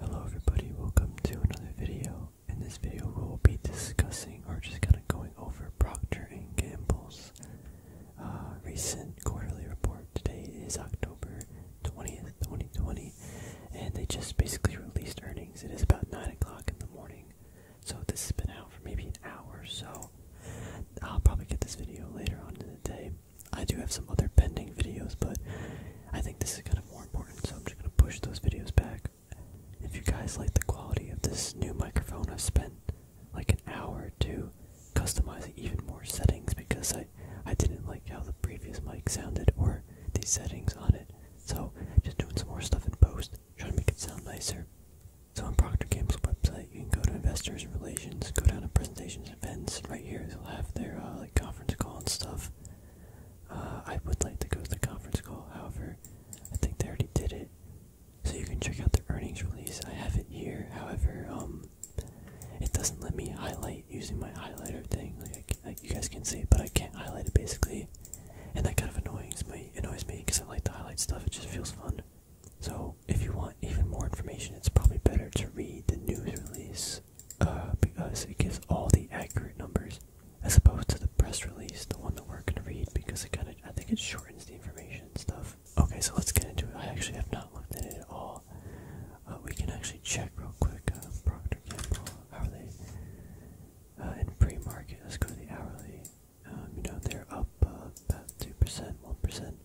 Hello everybody, welcome to another video. In this video we will be discussing or just kind of going over Procter & Gamble's uh, recent quarterly report. Today is October 20th, 2020 and they just basically released earnings. It is about 9 o'clock in the morning so this has been out for maybe an hour so. I'll probably get this video later on in the day. I do have some other pending videos, but I think this is kind of more important, so I'm just going to push those videos back. If you guys like the quality of this new microphone, I've spent like an hour to customize even more settings because I, I didn't like how the previous mic sounded or the settings on it. So, just doing some more stuff in post, trying to make it sound nicer. So on Procter Gamble's website, you can go to Investors Relations, go down to Presentations Events. Right here, they'll have their uh, conference call and stuff. Uh, I would like to go to the conference call, however, I think they already did it. So you can check out the earnings release. I have it here, however, um, it doesn't let me highlight using my highlighter thing. Like, you guys can see but I can't highlight it basically, and that kind of annoys me. Annoys me because I like to highlight stuff. It just feels fun. So if you want even more information, it's probably better to read the news release uh, because it gives all the accurate numbers as opposed to the press release, the one that we're gonna read, because it kind of I think it shortens the information and stuff. Okay, so let's get into it. I actually have not looked at it at all. Uh, we can actually check real quick. Uh, & Gamble, how are they? Uh, in pre-market, let's go to the hourly. Um, you know they're up uh, about two percent, one percent.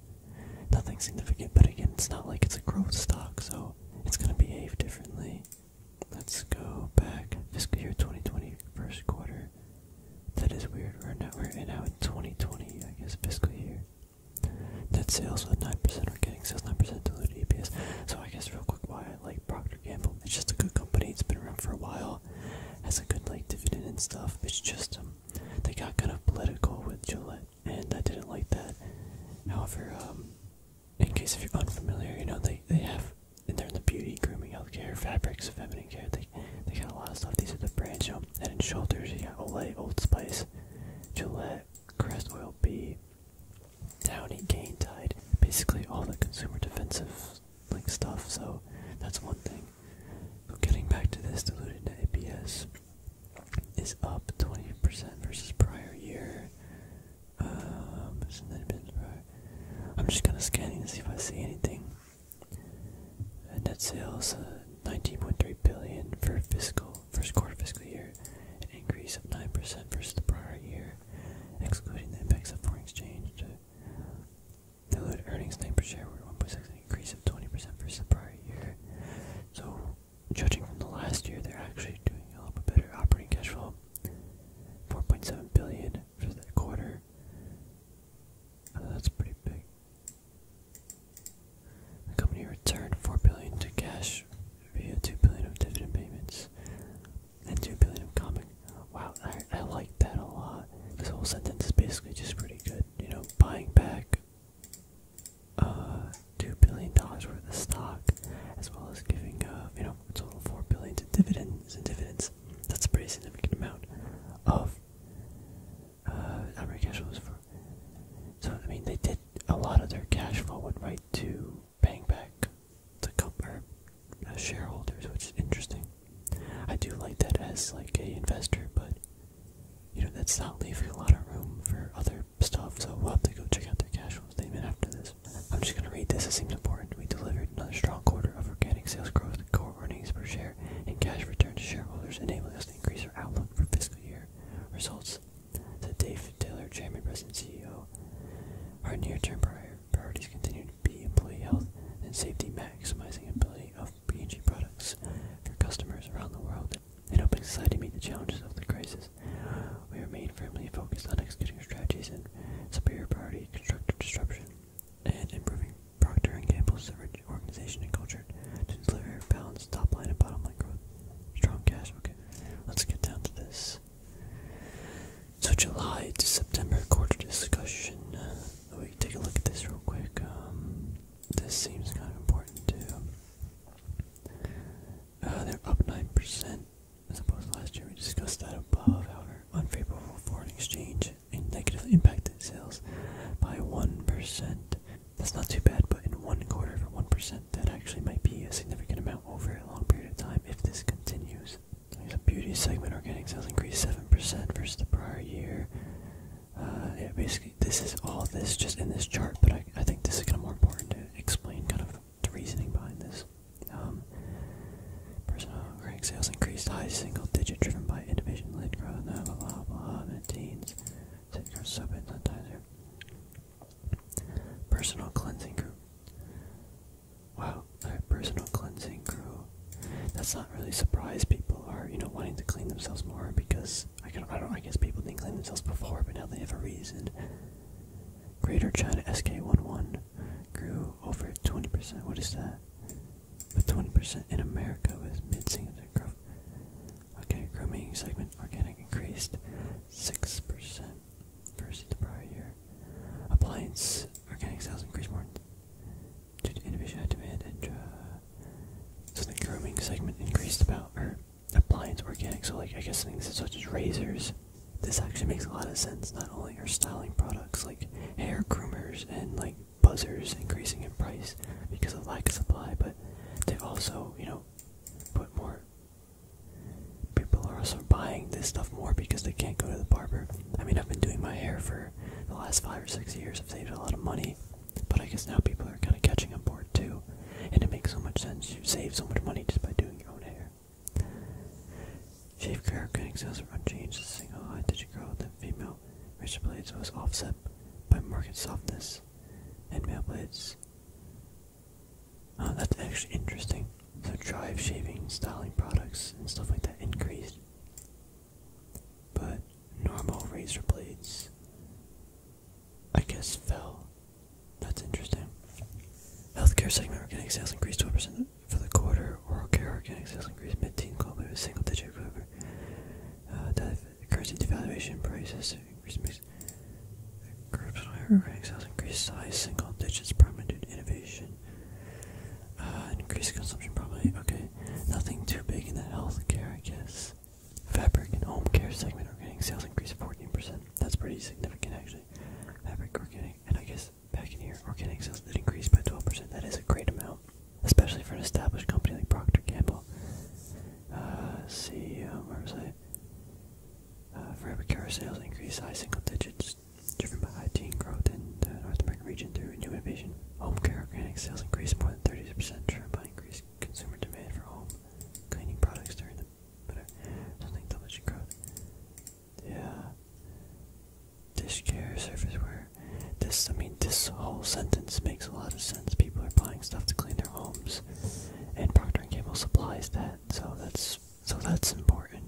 Nothing significant, but again, it's not like it's a growth stock, so it's going to behave differently. Let's go back fiscal year 2020 first quarter. That is weird. We're now we're in now 2020, I guess, fiscal year. Net sales with nine percent organic sales, nine percent diluted EPS. So I guess real quick, why I like Procter Gamble? It's just a good company. It's been around for a while. Has a good like dividend and stuff. It's just um, they got kind of political with Gillette and I didn't like that. However, um, in case if you're unfamiliar, you know they they have in they're the beauty, grooming, healthcare, fabrics, feminine care. They they got a lot of stuff. These are the brands, you know. Head and Shoulders, you got Olay, Old Spice, Gillette, Crest Oil B, Downy, Gain Tide. Basically, all the consumer defensive like stuff. So that's one thing. But getting back to this diluted to ABS is up 20% versus prior year. Um, I'm just kind of scanning to see if I see anything. Uh, net sales 19.3 uh, billion for fiscal first quarter fiscal year, an increase of 9% versus the prior year, excluding the impacts of foreign exchange. Uh, diluted earnings name per share were 1.68 increase of 20% versus the prior year. So, judging from the last year, they're actually doing a little bit better. Operating cash flow, 4.7 billion for that quarter. Uh, that's pretty big. The company returned 4 billion to cash via 2 billion of dividend payments and 2 billion of common. Wow, I like that a lot. This whole sentence is basically just pretty good. You know, buying back uh, two billion dollars worth of stock, as well as giving uh, you know a total of four billion to dividends and dividends. That's a pretty significant amount of uh, cash flows So I mean, they did a lot of their cash flow went right to paying back the company uh, shareholders, which is interesting. I do like that as like a investor, but you know, that's not leaving a lot of room for other stuff, so we'll have to go check out their cash flow statement after this. I'm just gonna read this, it seems important. We delivered another strong quarter of organic sales growth, core earnings per share, and cash return to shareholders, enabling us to increase our outlook for fiscal year results, said Dave Taylor, Chairman, President, CEO. Our near-term priorities continue to be employee health and safety, maximizing ability of p products for customers around the world and side to meet the challenges of the crisis. We remain firmly focused on executing strategies and superior priority, constructive disruption, and improving Procter & Gamble's organization and culture to deliver balanced top-line and bottom-line growth. Strong cash. Okay, let's get down to this. So July to September quarter discussion. we uh, can take a look at this real quick. Um, this seems kind of important too. Uh, they're up 9% as opposed last year. We discussed that above. However, unfavorable foreign exchange and negatively impacted sales by 1%. That's not too bad, but in one quarter for 1%, that actually might be a significant amount over a long period of time if this continues. The beauty segment organic sales increased 7% versus the prior year yeah, uh, basically, this is all this just in this chart, but I, think this is kind of more important to explain kind of the reasoning behind this. Um, personal oh, crank sales increased high single digit, driven by innovation led growth, blah blah blah, blah soap and sanitizer. Personal cleansing crew. Wow, personal cleansing crew that's not really surprise. people are you know wanting to clean themselves more because I can I guess people didn't clean themselves before but now they have a reason. Greater China SK11 grew over 20%. What is that? But 20% in America was mid segment growth. Okay, grooming segment organic increased 6% versus the prior year. Appliance organic sales increased more demand and uh, so the grooming segment increased about or appliance organic so like I guess things such as razors. This actually makes a lot of sense. Not only are styling products like hair groomers and like buzzers increasing in price because of lack of supply, but they also, you know, put more people are also buying this stuff more because they can't go to the barber. I mean I've been doing my hair for the last five or six years have saved a lot of money, but I guess now people are kind of catching on board too, and it makes so much sense. You save so much money just by doing your own hair. Shave haircutting sales were unchanged. Single high oh, digit growth in female razor blades was offset by market softness and male blades. Oh, that's actually interesting. So, drive shaving, styling products, and stuff like that increased. But normal razor blades, I guess, fell. That's interesting. Healthcare segment organic sales increased 12% for the quarter. Oral care organic sales increased mid teen globally a single digit growth. Uh, def currency devaluation prices increased. Groups organic sales increased high single digits, primarily innovation uh, consumption, probably. Okay. Nothing too big in the healthcare, I guess. Fabric and home care segment we're getting sales increase of 14%. That's pretty significant, actually. Fabric getting, and I guess back in here, organic sales that increase by 12%. That is a great amount, especially for an established company like Procter Gamble. Uh, CEO, see, um, where was I? Uh, fabric care sales increase high single digits driven by high growth in the North American region through new innovation. Home care organic sales increased more than 30%, driven by increased consumer demand for home cleaning products during the better something double-digit growth. Yeah. Dish care, surfaceware. This, I mean, this whole sentence makes a lot of sense. People are buying stuff to clean their homes, and Procter & Gamble supplies that, so that's so that's important.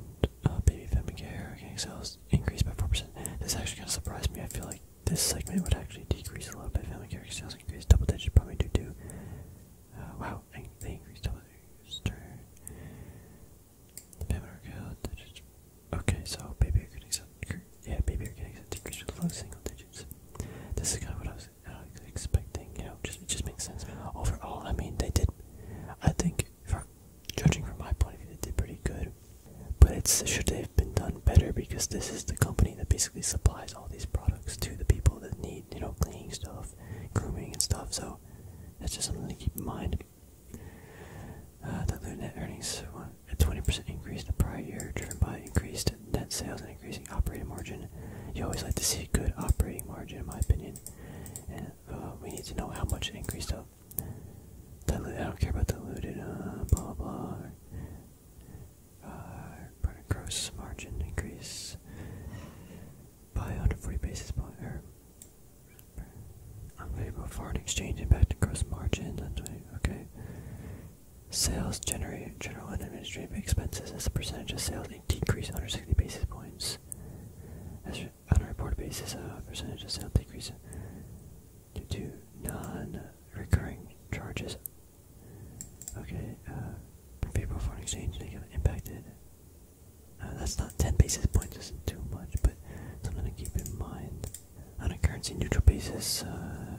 Uh, baby Femicare getting sales increased by 4%. This actually kind of surprised me. I feel like this segment would actually decrease a little bit. Femicare sales increased double digit, probably due to. Uh, wow, they increased double digits. Turn. Okay, so baby are getting sales. Yeah, baby are decreased with low single digits. This is kind of what I was expecting. You know, just it just makes sense. Overall, I mean, they did. I think judging from my point of view, it did pretty good. But it should have been done better because this is the company that basically supplies all these products to the people that need, you know, cleaning stuff, grooming and stuff. So that's just something to keep in mind. Uh, the net earnings a 20% increase in the prior year, driven by increased net sales and increasing operating margin. You always like to see good operating margin, in my opinion. Uh, we need to know how much increased of Dilute, I don't care about diluted, uh, blah blah blah. Uh, gross margin increase by 140 basis point. Er, unfavorable foreign exchange impact to gross margin. Okay. Sales generate general and administrative expenses as a percentage of sales decrease 160 basis points. As on a reported basis, a uh, percentage of sales decrease due to non-recurring charges. Okay, uh, favorable foreign exchange negative impacted. Uh, that's not 10 basis points, is too much, but something to keep in mind. On a currency neutral basis, uh,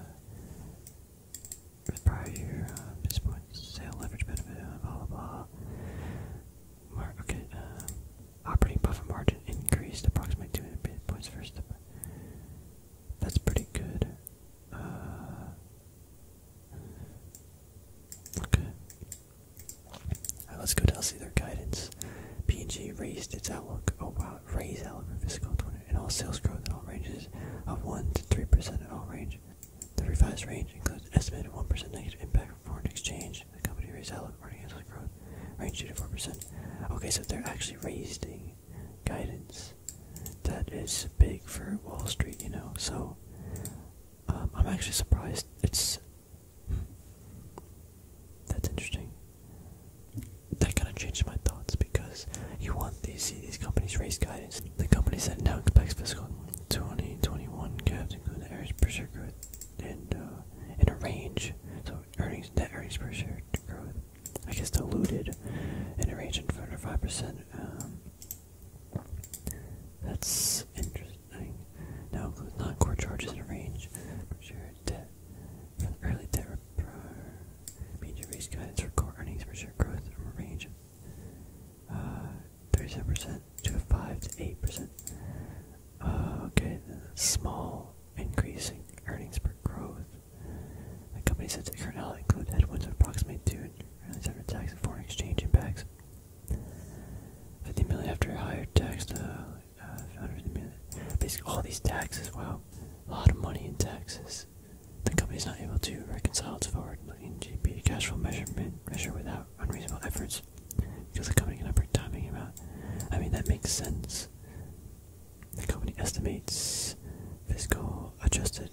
prior year, uh, basis points, sale leverage benefit, blah blah blah. Mar okay, uh, operating profit margin increased approximately 200 points first. Step. That's pretty good. Uh, okay. let's go to see their guidance. P&G raised its outlook. Oh wow, raised outlook for fiscal 20 and all sales growth in all ranges of 1 to 3% in all range. The revised range includes an estimated 1% negative impact from foreign exchange. The company raised outlook earnings growth range 2 to 4%. Okay, so they're actually raising guidance. That is big for Wall Street, you know. So um, I'm actually surprised. It's that's interesting. That kind of changed my thoughts because you want these see these companies raise guidance. The company said now expects fiscal 2021 caps, including the earnings per share growth and, uh, and a range. So earnings, net earnings per share growth, I guess diluted and a range of 4 5%. Um, that's interesting. Now includes non-core charges in a range per share debt. the early debt major raise guidance for core earnings per share growth from a range of uh, 37% to 5 to 8%. Uh, okay, small increasing earnings per growth. The company says the current outlook includes headwinds of approximately 2 and earnings after tax and foreign exchange impacts. 50 million after higher tax to uh, Basically, all these taxes, wow. A lot of money in taxes. The company is not able to reconcile its forward-looking GP cash flow measurement measure without unreasonable efforts because the company cannot predict timing about. I mean, that makes sense. The company estimates fiscal adjusted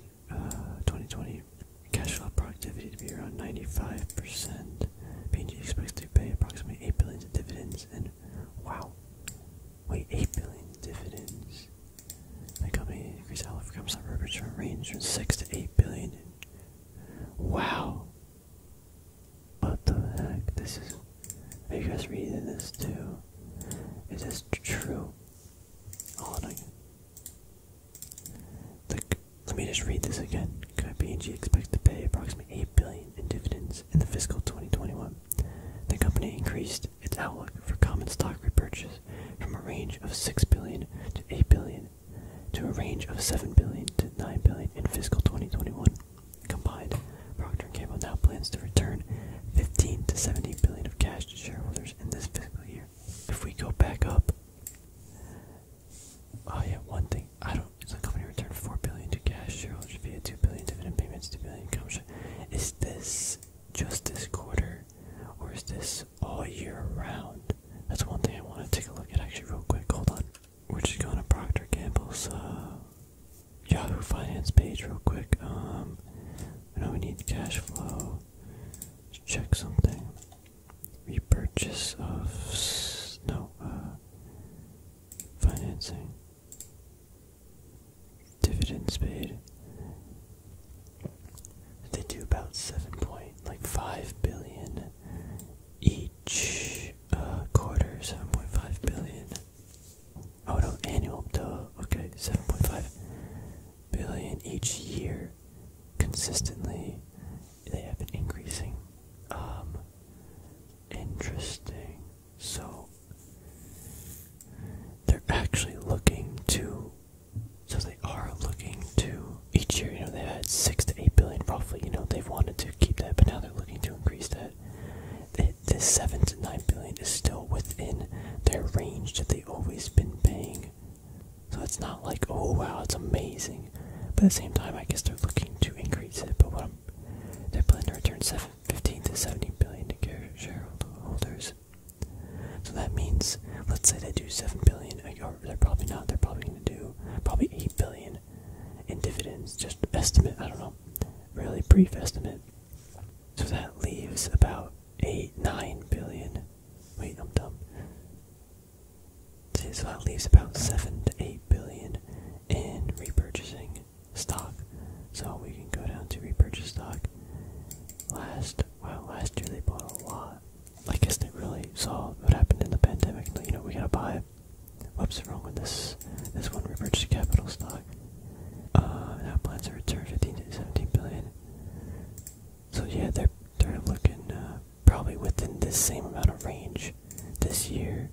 2020 uh, cash flow productivity to be around 95%. percent p expects to pay approximately 8 billion in dividends and wow. Wait, 8 billion in dividends. The company increased outlook for some return range from 6 to 8 billion Wow. What the heck? This is. Are you guys reading this too? Is this true? Hold on. let me just read this again. KPMG expects to pay approximately $8 billion in dividends in the fiscal 2021. The company increased its outlook for common stock repurchase from a range of $6 billion to $8 billion to a range of $7 to $9 in fiscal 2021. Combined, Procter & Gamble now plans to return 15 to 17 billion of cash to shareholders in this fiscal year. If we go back up, oh yeah, one thing I don't. So the company returned 4 billion to cash shareholders via 2 billion dividend payments, 2 billion comes. Is this just this quarter, or is this all year round. That's one thing I want to take a look at actually real quick. Hold on. We're just going to Procter Gamble's uh, Yahoo Finance page real quick. Um, I know we need cash flow. Let's check something. Repurchase of no uh, financing. Dividends paid. They do about seven point like five billion each uh, quarter. Seven point five billion. Oh annual. Okay, seven point five billion each year. Consistently, they have been increasing. Um, interesting. So they're actually looking to so they are looking to each year, you know, they had six to eight billion roughly, you know, they've wanted to keep that, but now they're looking to increase that. It, this seven to nine billion is still within their range that they've always been paying. So it's not like, oh wow, it's amazing. But at the same time I guess they're looking to increase it, but what I'm they plan to return seven fifteen to seventeen billion to shareholders so that means, let's say they do seven billion, or they're probably not. They're probably going to do probably eight billion in dividends. Just estimate. I don't know. Really brief estimate. So that leaves about eight, nine billion. Wait, I'm dumb. so that leaves about seven to eight billion in repurchasing stock. So we can go down to repurchase stock. Last Wow, last year they bought a lot. I guess they really saw what happened in the pandemic. you know, we gotta buy. What's wrong with this. This one repurchased capital stock. Uh, now plans to return 15 to 17 billion. So yeah, they're they're looking uh, probably within this same amount of range this year.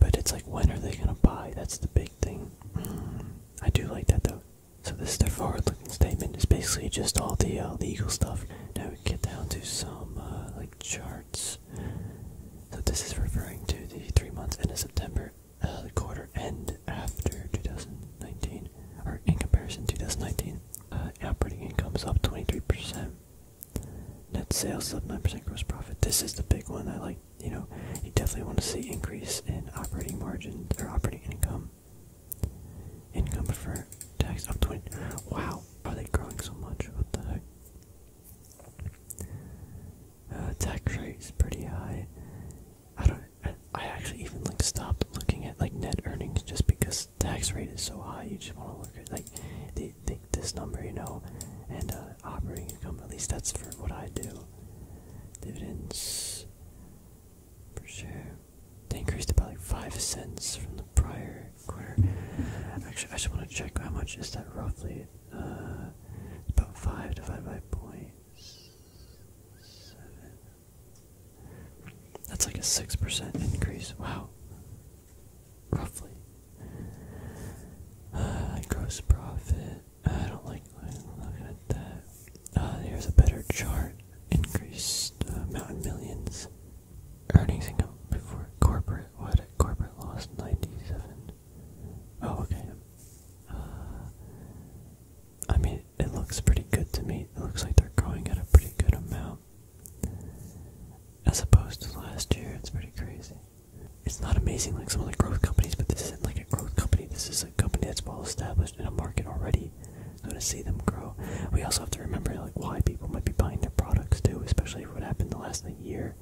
But it's like, when are they gonna buy? That's the big thing. Mm, I do like that though. So this is their forward-looking statement. It's basically just all the uh, legal stuff. Now we get down to some uh, like charts. So this is referring to the three months end of September, uh, quarter end after 2019, or in comparison 2019. operating income is up 23%. Net sales up 9%. Gross profit. This is the big one. I like you know, you definitely want to see increase in operating margin or operating income. Income before tax up to 20. Wow, are they growing so much? What the heck? Uh, tax rate is pretty high. I don't. I, actually even like stopped looking at like net earnings just because tax rate is so high. You just want to look at like this number, you know, and uh, operating income. At least that's for what I do. Dividends per share. They increased about like five cents from the prior quarter. Actually, I just want to check how much is that roughly. Uh, about five divided by point seven. That's like a six percent increase. Wow. Roughly. Uh, gross profit. I don't like looking at that. Uh, here's a better chart. Increased amount uh, in millions. Earnings income before corporate. What? Corporate lost 97. Oh, okay. Uh, I mean, it looks pretty good to me. It looks like they're growing at a pretty good amount. As opposed to last year, it's pretty crazy. It's not amazing like some of the growth companies, but this isn't like a growth company. This is a company that's well established in a market already. So to see them grow, we also have to remember like why people might be buying their products too, especially what happened the last like, year.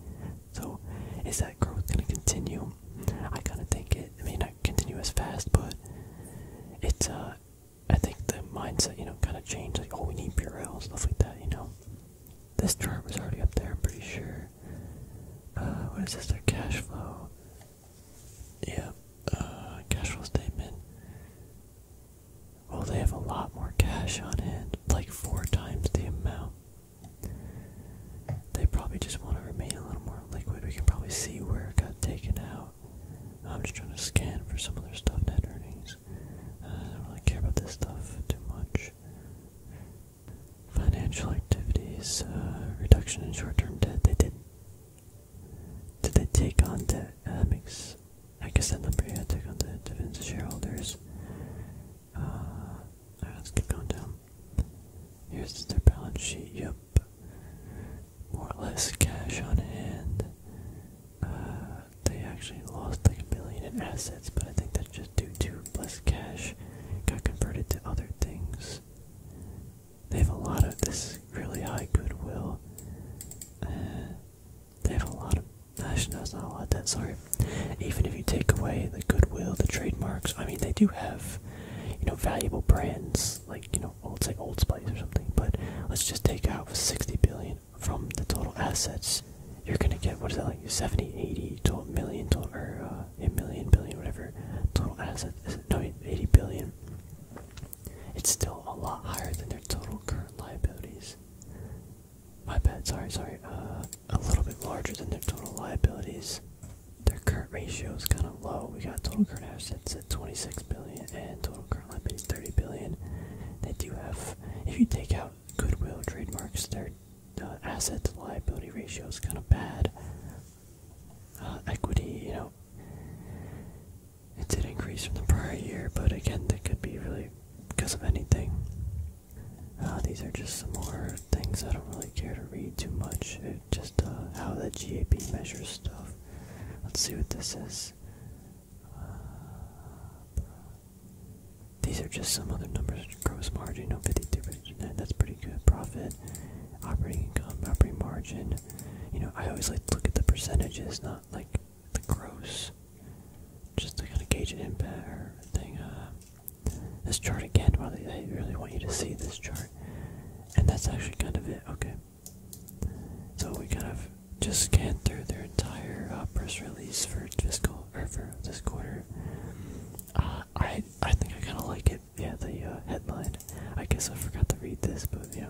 So is that growth going to continue? I kind of think it. it may not continue as fast, but it's uh, I think the mindset you know kind of changed. Like oh, we need Purell stuff like that. You know, this chart was already up there. I'm pretty sure. Uh, what is this? Their cash flow. Yeah, uh, cash flow statement. Well, they have a lot more cash on hand, like four times the amount. They probably just want to remain a little more liquid. We can probably see where it got taken out. I'm just trying to scan for some of their stuff, net earnings. Uh, I don't really care about this stuff too much. Financial activities, uh, reduction in short-term debt. They did. Did they take on debt? Uh, that makes. I guess that number yeah, take on debt. Dividends to shareholders. Uh, let's keep going down. Here's their balance sheet. Yep. More or less cash on hand. Uh, they actually lost like a billion in assets, but I think that's just due to less cash got converted to other things. They have a lot of this really high goodwill. Uh, they have a lot of. Actually, no, not a lot. That sorry. Even if you take away the goodwill, the trademarks. I mean, they do have, you know, valuable brands like you know, old say Old Spice or something. But let's just take out sixty billion from the total assets you're gonna get what is that like 70 80 total million total or uh, a million billion whatever total assets is it, no 80 billion it's still a lot higher than their total current liabilities my bad sorry sorry uh a little bit larger than their total liabilities their current ratio is kind of low we got total current assets at 26 billion and total current liabilities 30 billion they do have if you take out goodwill trademarks they're the asset to liability ratio is kind of bad. Uh, equity, you know, it did increase from the prior year, but again, that could be really because of anything. Uh, these are just some more things I don't really care to read too much. Uh, just how the GAP measures stuff. Let's see what this is. These are just some other numbers. Gross margin, no 52%. That's pretty good. Profit, operating income, operating margin. You know, I always like to look at the percentages, not like the gross. Just to kind of gauge an impact or thing. Uh, this chart again. Well, I really want you to see this chart, and that's actually kind of it. Okay. So we kind of just scanned through their entire uh, press release for fiscal this quarter. Uh, I I think I kind of like it. Yeah, the uh, headline. I guess I forgot to read this, but yeah.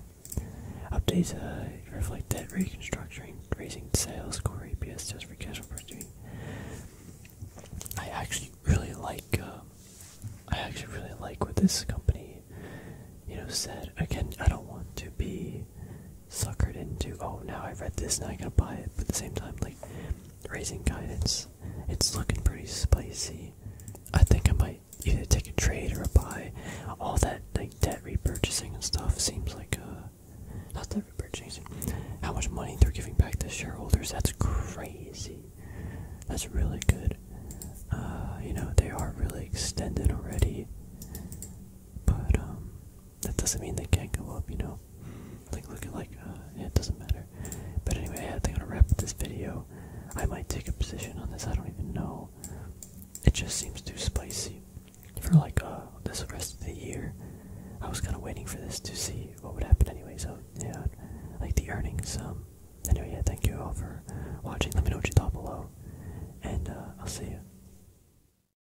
Updates uh, reflect debt reconstructing, raising sales, core EPS just for cash opportunity. I actually really like. I actually really like what this company, you know, said. Again, I don't want to be suckered into oh now I've read this now I gotta buy it but at the same time like raising guidance it's looking pretty spicy I think I might either take a trade or a buy all that like debt repurchasing and stuff seems like uh not debt repurchasing how much money they're giving back to shareholders that's crazy that's really good uh you know they are really extended already but um that doesn't mean they can't go up, you know. Like, look at like, uh, it doesn't matter. But anyway, I think I'm gonna wrap up this video. I might take a position on this. I don't even know. It just seems too spicy for like uh this rest of the year. I was kind of waiting for this to see what would happen anyway. So yeah, like the earnings. Um. Anyway, yeah, thank you all for watching. Let me know what you thought below, and uh, I'll see you.